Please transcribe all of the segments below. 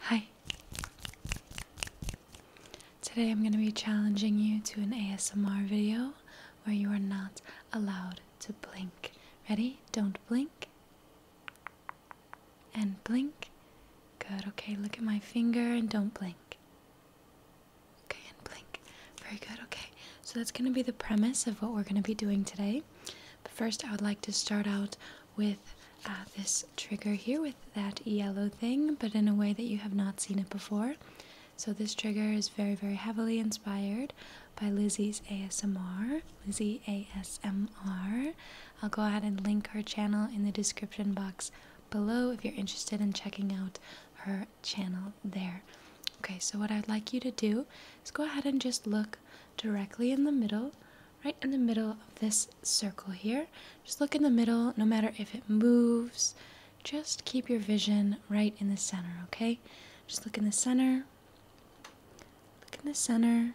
Hi. Today I'm going to be challenging you to an ASMR video where you are not allowed to blink. Ready? Don't blink. And blink. Good. Okay, look at my finger and don't blink. Okay, and blink. Very good. Okay so that's going to be the premise of what we're going to be doing today. But first, I would like to start out with uh, this trigger here with that yellow thing, but in a way that you have not seen it before. So, this trigger is very, very heavily inspired by Lizzie's ASMR. Lizzie ASMR. I'll go ahead and link her channel in the description box below if you're interested in checking out her channel there. Okay, so what I'd like you to do is go ahead and just look directly in the middle, right in the middle of this circle here. Just look in the middle, no matter if it moves, just keep your vision right in the center, okay? Just look in the center, look in the center.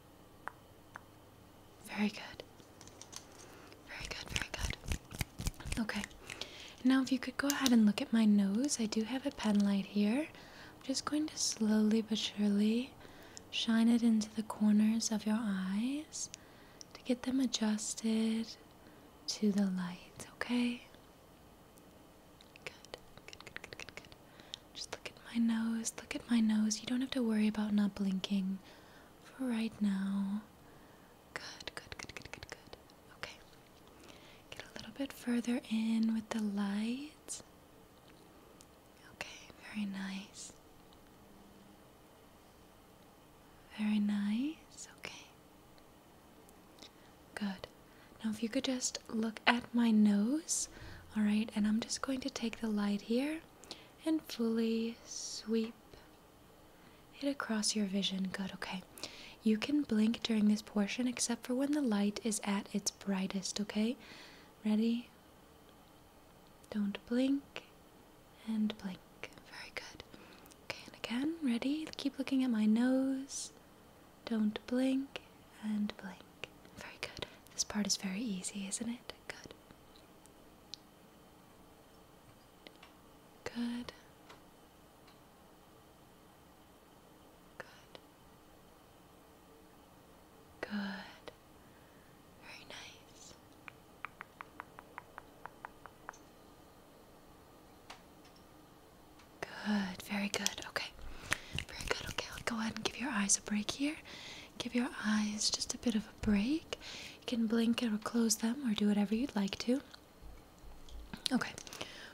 Very good. Very good, very good. Okay. Now, if you could go ahead and look at my nose, I do have a pen light here. I'm just going to slowly but surely shine it into the corners of your eyes to get them adjusted to the light, okay? Good, good, good, good, good, Just look Look at my nose. Look at my nose. You don't have to worry about not blinking for right now. Good, good, good, good, good, good. Okay. Get a little bit further in with the light. Okay, very nice. Very nice. Okay. Good. Now, if you could just look at my nose, all right, and I'm just going to take the light here and fully sweep it across your vision. Good, okay. You can blink during this portion except for when the light is at its brightest, okay? Ready? Don't blink and blink. Very good. Okay, and again, ready? Keep looking at my nose. Don't blink and blink. Very good. This part is very easy, isn't it? good. Good. Good. Good. Very nice. Good. Very good. Okay. Very good. Okay. I'll go ahead and give your eyes a break here give your eyes just a bit of a break. You can blink it or close them or do whatever you'd like to. Okay,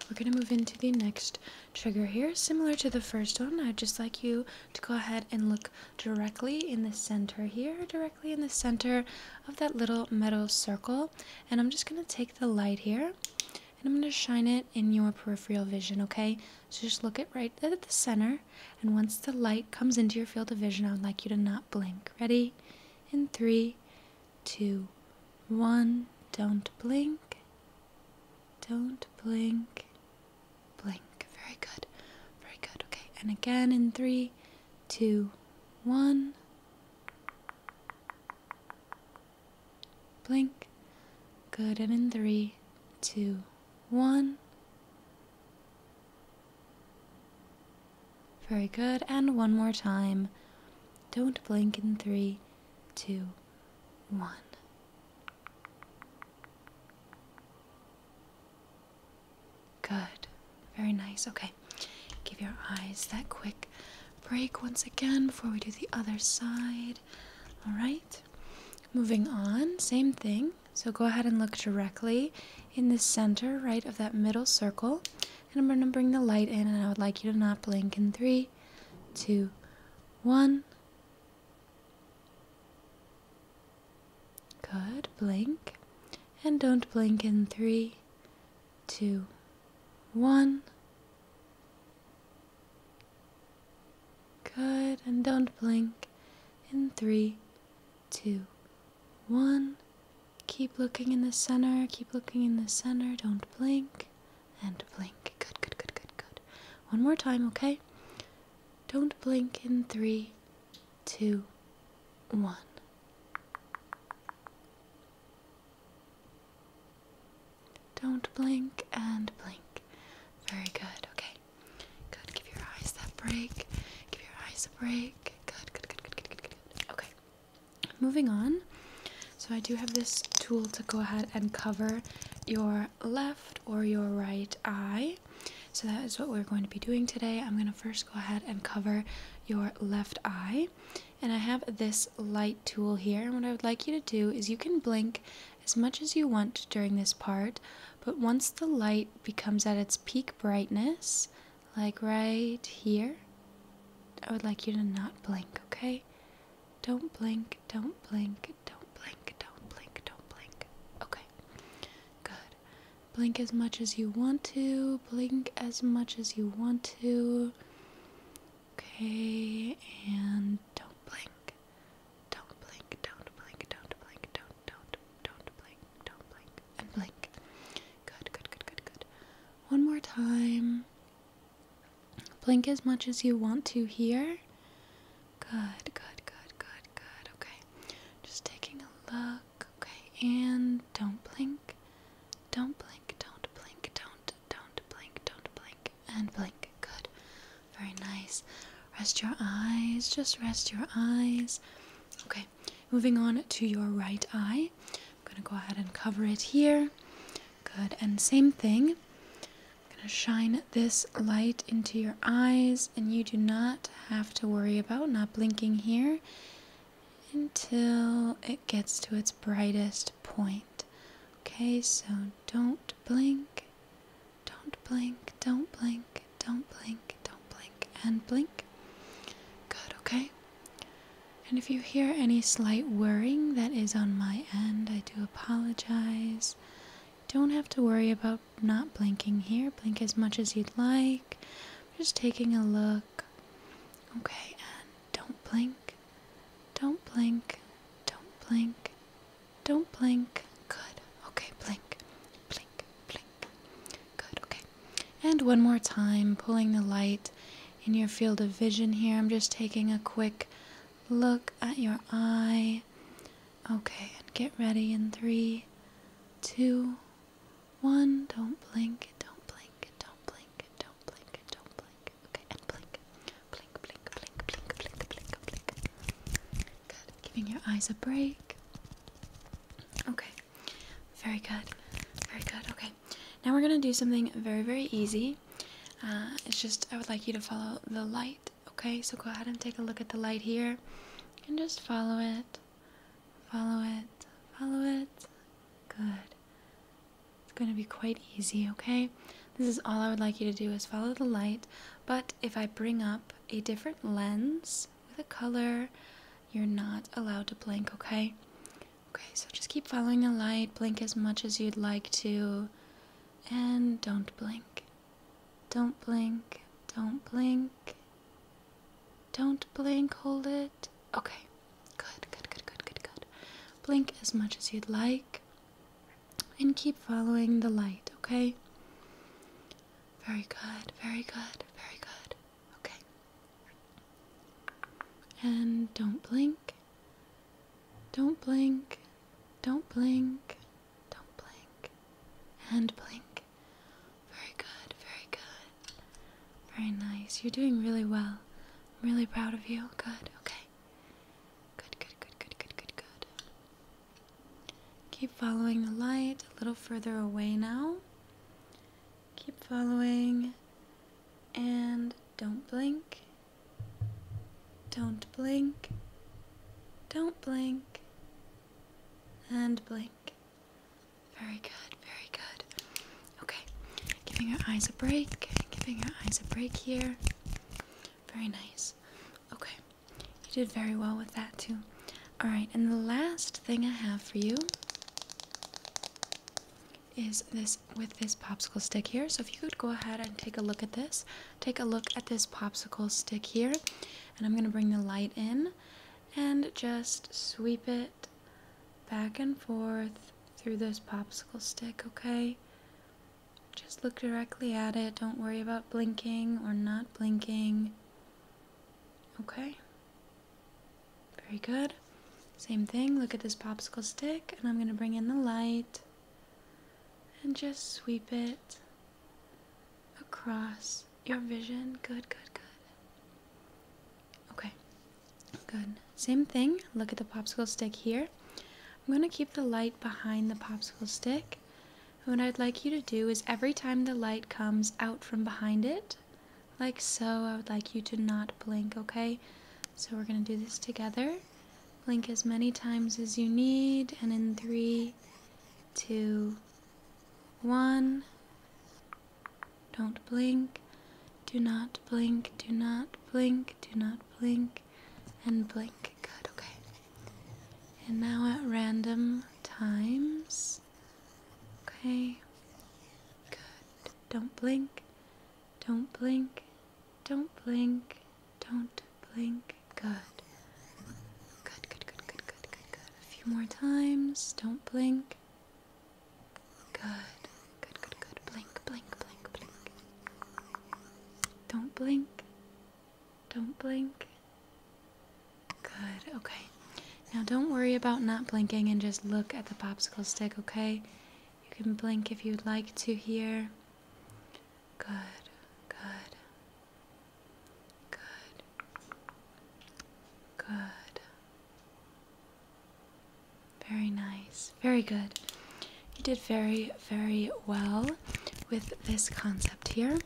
we're going to move into the next trigger here. Similar to the first one, I'd just like you to go ahead and look directly in the center here, directly in the center of that little metal circle. And I'm just going to take the light here and I'm going to shine it in your peripheral vision, okay? So just look at right at the center, and once the light comes into your field of vision, I would like you to not blink. Ready? In three, two, one. Don't blink. Don't blink. Blink. Very good. Very good. Okay. And again in three, two, one blink. Good, and in three, two, one. Very good, and one more time. Don't blink in three, two, one. Good, very nice. Okay, give your eyes that quick break once again before we do the other side. All right. Moving on, same thing. So go ahead and look directly in the center, right of that middle circle. And I'm going to bring the light in, and I would like you to not blink in three, two, one. Good. Blink. And don't blink in three, two, one. Good, and don't blink. In three, two, one. Keep looking in the center, keep looking in the center, don't blink, and blink. Good, good, good, good, good. One more time, okay? Don't blink in three, two, one. Don't blink and blink. Very good. Okay. Good. Give your eyes that break. Give your eyes a break. Good. Good. Good. Good. Good. Good. good. Okay. Moving on. So I do have this tool to go ahead and cover your left or your right eye. So that is what we're going to be doing today. I'm going to first go ahead and cover your left eye and I have this light tool here and what I would like you to do is you can blink as much as you want during this part but once the light becomes at its peak brightness like right here I would like you to not blink okay don't blink don't blink don't blink don't blink don't blink okay good blink as much as you want to blink as much as you want to Okay, and don't blink. Don't blink, don't blink, don't blink, don't, don't, don't blink, don't blink, and blink. Good, good, good, good, good. One more time. Blink as much as you want to here. Good, good, good, good, good. Okay, just taking a look. Okay, and don't blink. Don't blink, don't blink, don't, don't blink, don't blink, and blink. Good. Very nice. Rest your eyes, just rest your eyes. Okay, moving on to your right eye. I'm gonna go ahead and cover it here. Good, and same thing. I'm gonna shine this light into your eyes, and you do not have to worry about not blinking here until it gets to its brightest point. Okay, so don't blink, don't blink, don't blink, don't blink, don't blink, and blink. Good, okay? And if you hear any slight whirring that is on my end, I do apologize. Don't have to worry about not blinking here. Blink as much as you'd like. Just taking a look. Okay, and don't blink. Don't blink. Don't blink. Don't blink. Good. Okay, blink. Blink. Blink. Good. Okay. And one more time, pulling the light in your field of vision here. I'm just taking a quick look at your eye. Okay, and get ready in three, two, one, don't blink, don't blink, don't blink, don't blink, don't blink. Okay, and blink. Blink, blink, blink, blink, blink, blink, Good. Giving your eyes a break. Okay. Very good. Very good. Okay. Now we're gonna do something very, very easy. Uh, it's just I would like you to follow the light. Okay, so go ahead and take a look at the light here, and just follow it, follow it, follow it. Good. It's going to be quite easy, okay? This is all I would like you to do is follow the light, but if I bring up a different lens with a color, you're not allowed to blink, okay? Okay, so just keep following the light, blink as much as you'd like to, and don't blink. Don't blink, don't blink, don't blink, hold it. Okay, good, good, good, good, good, good. Blink as much as you'd like and keep following the light, okay? Very good, very good, very good. Okay. And don't blink. Don't blink. Don't blink. Don't blink. And blink. Very good, very good. Very nice. You're doing really well. I'm really proud of you. Good, okay. Good, good, good, good, good, good, Keep following the light a little further away now. Keep following and don't blink. Don't blink. Don't blink. And blink. Very good, very good. Okay, giving your eyes a break, giving your eyes a break here. Very nice. Okay, you did very well with that too. Alright, and the last thing I have for you is this with this popsicle stick here. So if you could go ahead and take a look at this, take a look at this popsicle stick here, and I'm going to bring the light in and just sweep it back and forth through this popsicle stick, okay? Just look directly at it. Don't worry about blinking or not blinking. Okay? Very good. Same thing. Look at this popsicle stick, and I'm going to bring in the light and just sweep it across your vision? Good, good, good. Okay, good. Same thing. Look at the popsicle stick here. I'm going to keep the light behind the popsicle stick. And what I'd like you to do is every time the light comes out from behind it, like so, I would like you to not blink, okay? So we're going to do this together. Blink as many times as you need, and in three, two, one. Don't blink. Do not blink. Do not blink. Do not blink. And blink. Good, okay. And now at random times. Okay. Good. Don't blink. Don't blink. Don't blink. Don't blink. Good. Good, good, good, good, good, good, good. A few more times. Don't blink. Good, good, good, good. Blink, blink, blink, blink. Don't blink. Don't blink. Good, okay. Now don't worry about not blinking and just look at the popsicle stick, okay? You can blink if you'd like to here. Good, good. Good. Good. Very nice. Very good. You did very, very well with this concept here.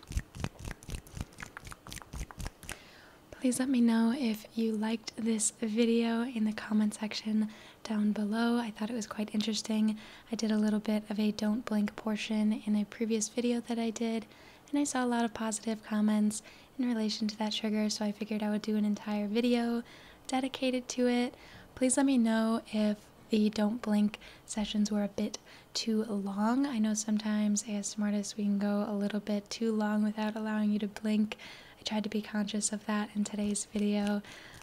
Please let me know if you liked this video in the comment section down below. I thought it was quite interesting. I did a little bit of a don't blink portion in a previous video that I did and I saw a lot of positive comments in relation to that trigger, so I figured I would do an entire video dedicated to it. Please let me know if the don't blink sessions were a bit too long. I know sometimes as artists we can go a little bit too long without allowing you to blink. I tried to be conscious of that in today's video.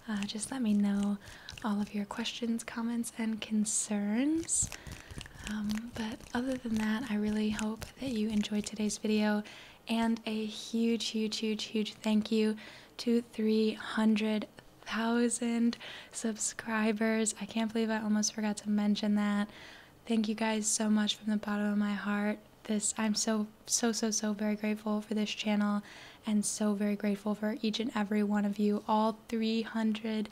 Uh, just let me know all of your questions, comments, and concerns. Um, but other than that, I really hope that you enjoyed today's video. And a huge, huge, huge, huge thank you to 300,000 subscribers. I can't believe I almost forgot to mention that. Thank you guys so much from the bottom of my heart. This, I'm so, so, so, so very grateful for this channel and so very grateful for each and every one of you, all 300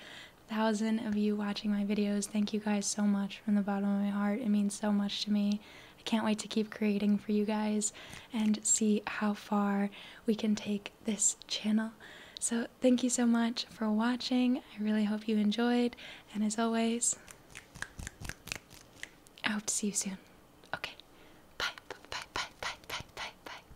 thousand of you watching my videos. Thank you guys so much from the bottom of my heart. It means so much to me. I can't wait to keep creating for you guys and see how far we can take this channel. So, thank you so much for watching. I really hope you enjoyed. And as always, I hope to see you soon. Okay. Bye. Bye. Bye. Bye. Bye. Bye. Bye.